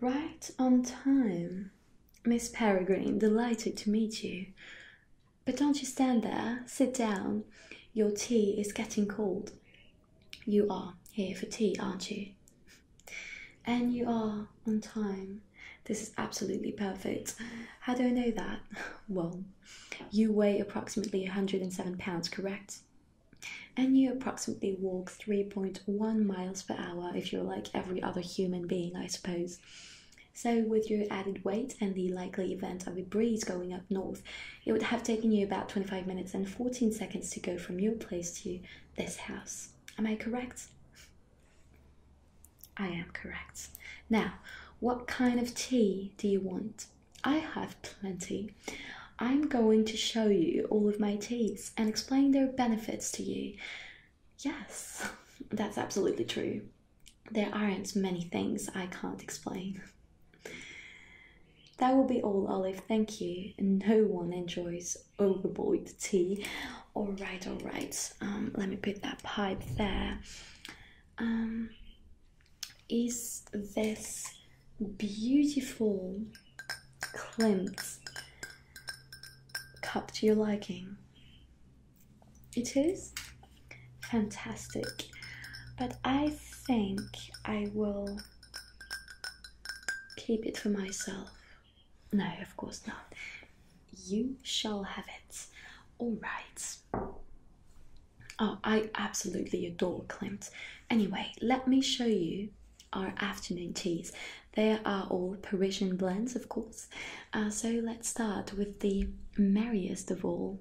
Right on time. Miss Peregrine, delighted to meet you. But don't you stand there, sit down. Your tea is getting cold. You are here for tea, aren't you? And you are on time. This is absolutely perfect. How do I know that? Well, you weigh approximately 107 pounds, correct? And you approximately walk 3.1 miles per hour if you're like every other human being, I suppose. So, with your added weight and the likely event of a breeze going up north, it would have taken you about 25 minutes and 14 seconds to go from your place to this house. Am I correct? I am correct. Now, what kind of tea do you want? I have plenty. I'm going to show you all of my teas and explain their benefits to you. Yes, that's absolutely true. There aren't many things I can't explain. That will be all, Olive. Thank you. No one enjoys overboiled tea all right all right um, let me put that pipe there. Um, is this beautiful Klimt cup to your liking it is fantastic but i think i will keep it for myself no, of course not. You shall have it. All right. Oh, I absolutely adore Klimt. Anyway, let me show you our afternoon teas. They are all Parisian blends, of course. Uh, so let's start with the merriest of all.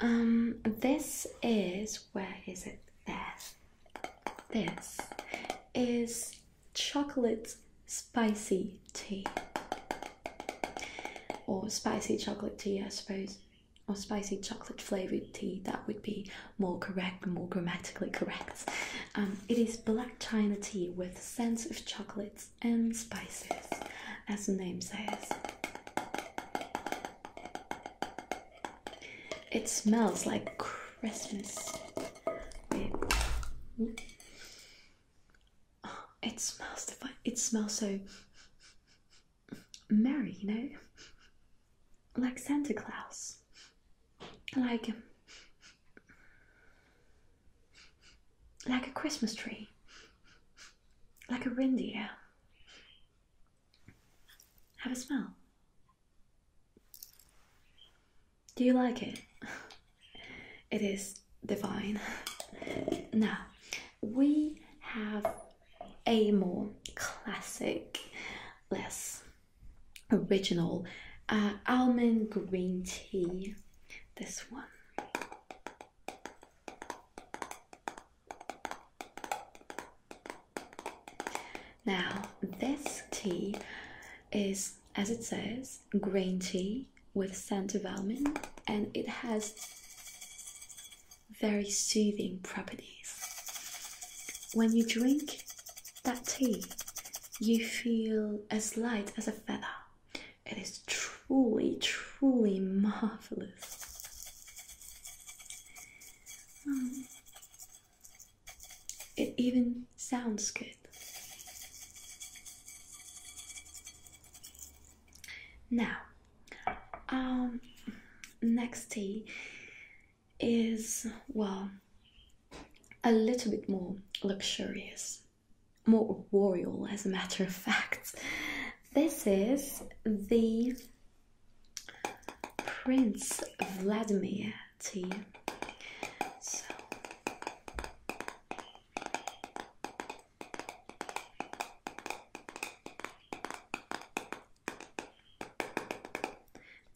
Um, this is where is it? This. This is chocolate spicy tea or spicy chocolate tea i suppose or spicy chocolate flavored tea that would be more correct more grammatically correct um, it is black china tea with scents of chocolates and spices as the name says it smells like christmas it smells divine. It smells so merry, you know, like Santa Claus. Like um, like a Christmas tree, like a reindeer. Have a smell. Do you like it? It is divine. Now, we have a more classic, less original uh, almond green tea. This one. Now, this tea is, as it says, green tea with scent of almond and it has very soothing properties. When you drink that tea, you feel as light as a feather. It is truly, truly marvelous. Um, it even sounds good. Now, um, next tea is, well, a little bit more luxurious, more royal, as a matter of fact. This is the Prince Vladimir to So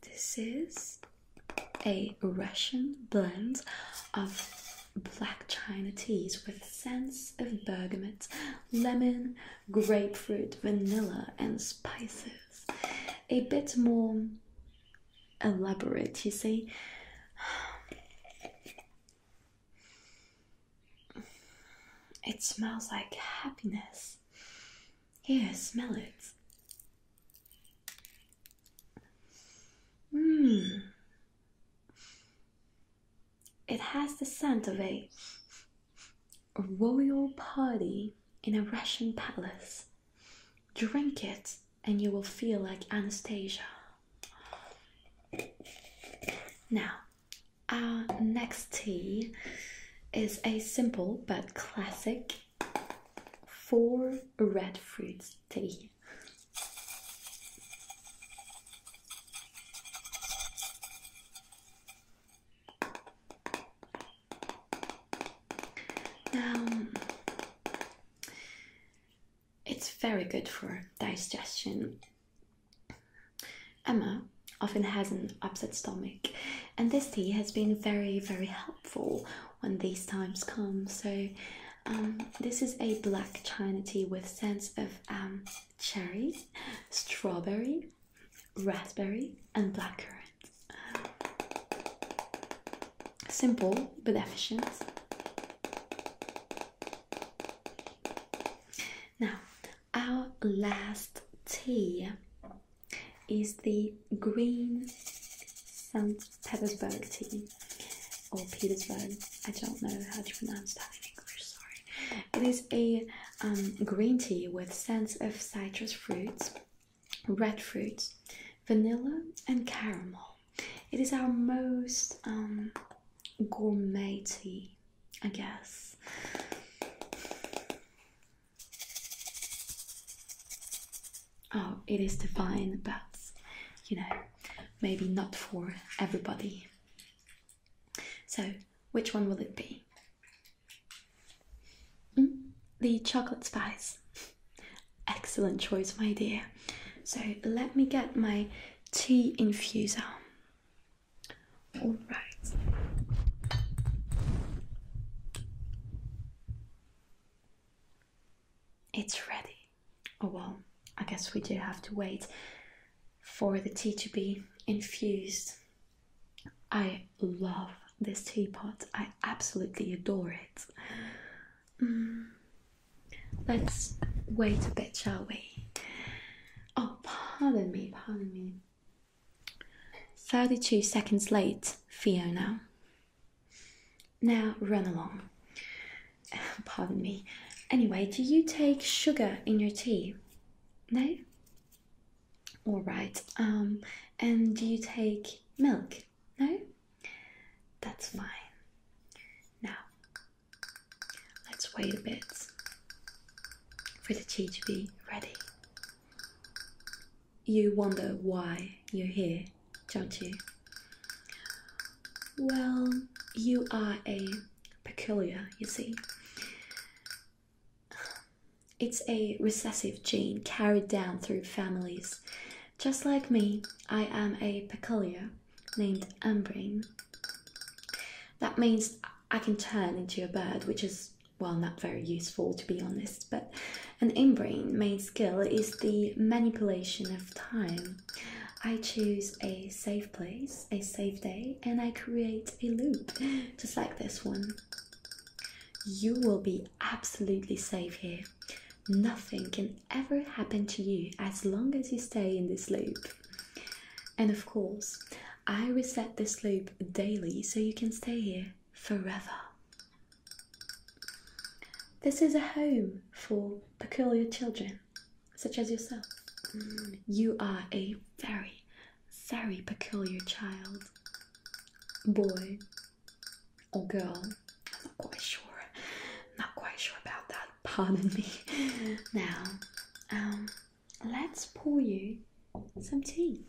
this is a Russian blend of black china teas with scents of bergamot, lemon, grapefruit, vanilla, and spices. A bit more elaborate, you see. It smells like happiness. Here, smell it. Mmm. It has the scent of a royal party in a Russian palace. Drink it and you will feel like Anastasia. Now, our next tea is a simple but classic four red fruits tea. Um, it's very good for digestion. Emma often has an upset stomach, and this tea has been very, very helpful when these times come. So, um, this is a black china tea with scents of um, cherries, strawberry, raspberry, and blackcurrant. Um, simple but efficient. Now, our last tea is the green St. Petersburg tea or Petersburg. I don't know how you pronounce that in English, sorry. It is a um, green tea with scents of citrus fruits red fruits, vanilla, and caramel. It is our most um, gourmet tea, I guess. Oh, it is divine, but you know, maybe not for everybody. So, which one will it be? Mm, the chocolate spice. Excellent choice, my dear. So let me get my tea infuser. All right. It's ready. Oh well, I guess we do have to wait for the tea to be infused. I love this teapot, I absolutely adore it. Mm. Let's wait a bit, shall we? Oh, pardon me, pardon me. 32 seconds late, Fiona. Now run along. Pardon me. Anyway, do you take sugar in your tea? No? All right. Um, and do you take milk? No? That's fine. Now, let's wait a bit for the tea to be ready. You wonder why you're here, don't you? Well, you are a peculiar, you see. It's a recessive gene carried down through families. Just like me, I am a peculiar named Umbrine. That means I can turn into a bird, which is, well, not very useful to be honest, but an Umbrine main skill is the manipulation of time. I choose a safe place, a safe day, and I create a loop, just like this one. You will be absolutely safe here. Nothing can ever happen to you as long as you stay in this loop. And of course, I reset this loop daily so you can stay here forever. This is a home for peculiar children, such as yourself. You are a very very peculiar child. Boy or girl, I'm not quite sure. Not quite sure about that, pardon me. Now, um, let's pour you some tea.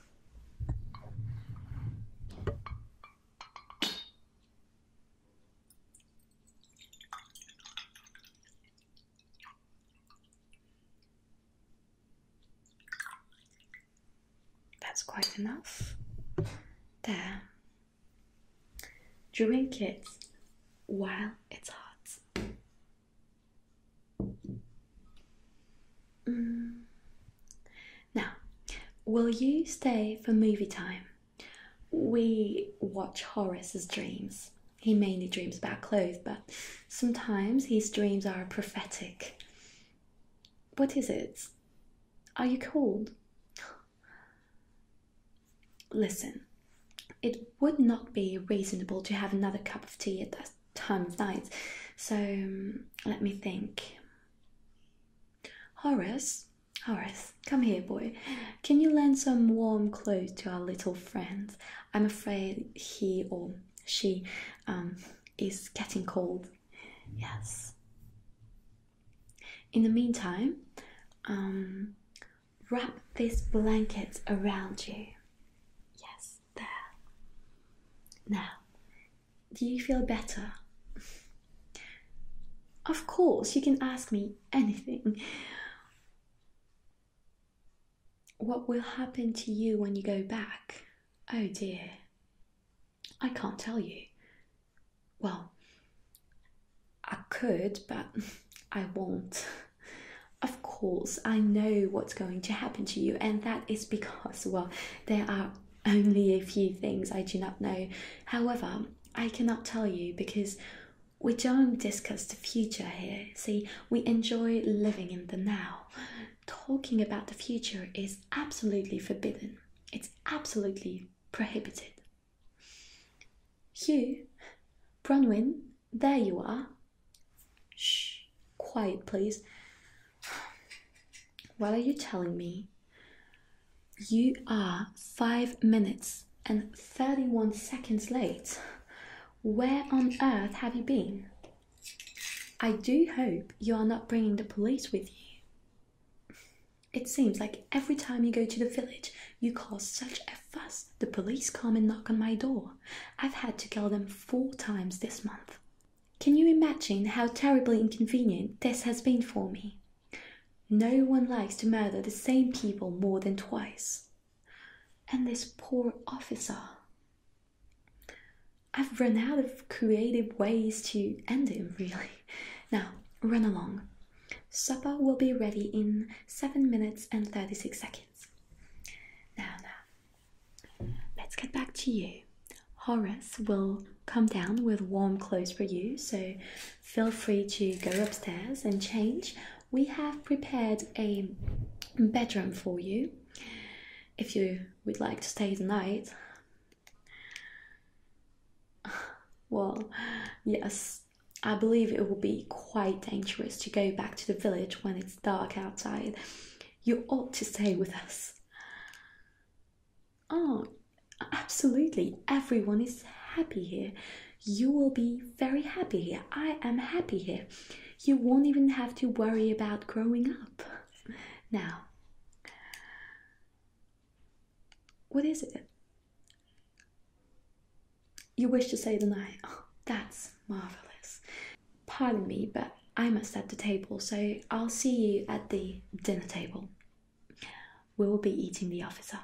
That's quite enough. There. Drink it while it's hot. Mm. Now, will you stay for movie time? We watch Horace's dreams. He mainly dreams about clothes, but sometimes his dreams are prophetic. What is it? Are you cold? Listen, it would not be reasonable to have another cup of tea at that time of night, so um, let me think. Horace, Horace, come here, boy. Can you lend some warm clothes to our little friend? I'm afraid he or she um, is getting cold. Yes. In the meantime, um, wrap this blanket around you. Yes, there. Now, do you feel better? Of course, you can ask me anything. What will happen to you when you go back? Oh dear, I can't tell you. Well, I could, but I won't. Of course, I know what's going to happen to you, and that is because, well, there are only a few things I do not know. However, I cannot tell you because we don't discuss the future here. See, we enjoy living in the now talking about the future is absolutely forbidden. It's absolutely prohibited. Hugh, Bronwyn, there you are. Shh, quiet, please. What are you telling me? You are five minutes and 31 seconds late. Where on earth have you been? I do hope you are not bringing the police with you. It seems like every time you go to the village, you cause such a fuss the police come and knock on my door. I've had to call them four times this month. Can you imagine how terribly inconvenient this has been for me? No one likes to murder the same people more than twice and this poor officer. I've run out of creative ways to end him, really. Now, run along. Supper will be ready in 7 minutes and 36 seconds. Now, now, let's get back to you. Horace will come down with warm clothes for you, so feel free to go upstairs and change we have prepared a bedroom for you if you would like to stay the night. Well, yes, I believe it will be quite dangerous to go back to the village when it's dark outside. You ought to stay with us. Oh, absolutely. Everyone is happy here. You will be very happy here. I am happy here you won't even have to worry about growing up. Now, what is it? You wish to say the night? Oh, that's marvelous. Pardon me, but I must set the table, so I'll see you at the dinner table. We'll be eating the officer.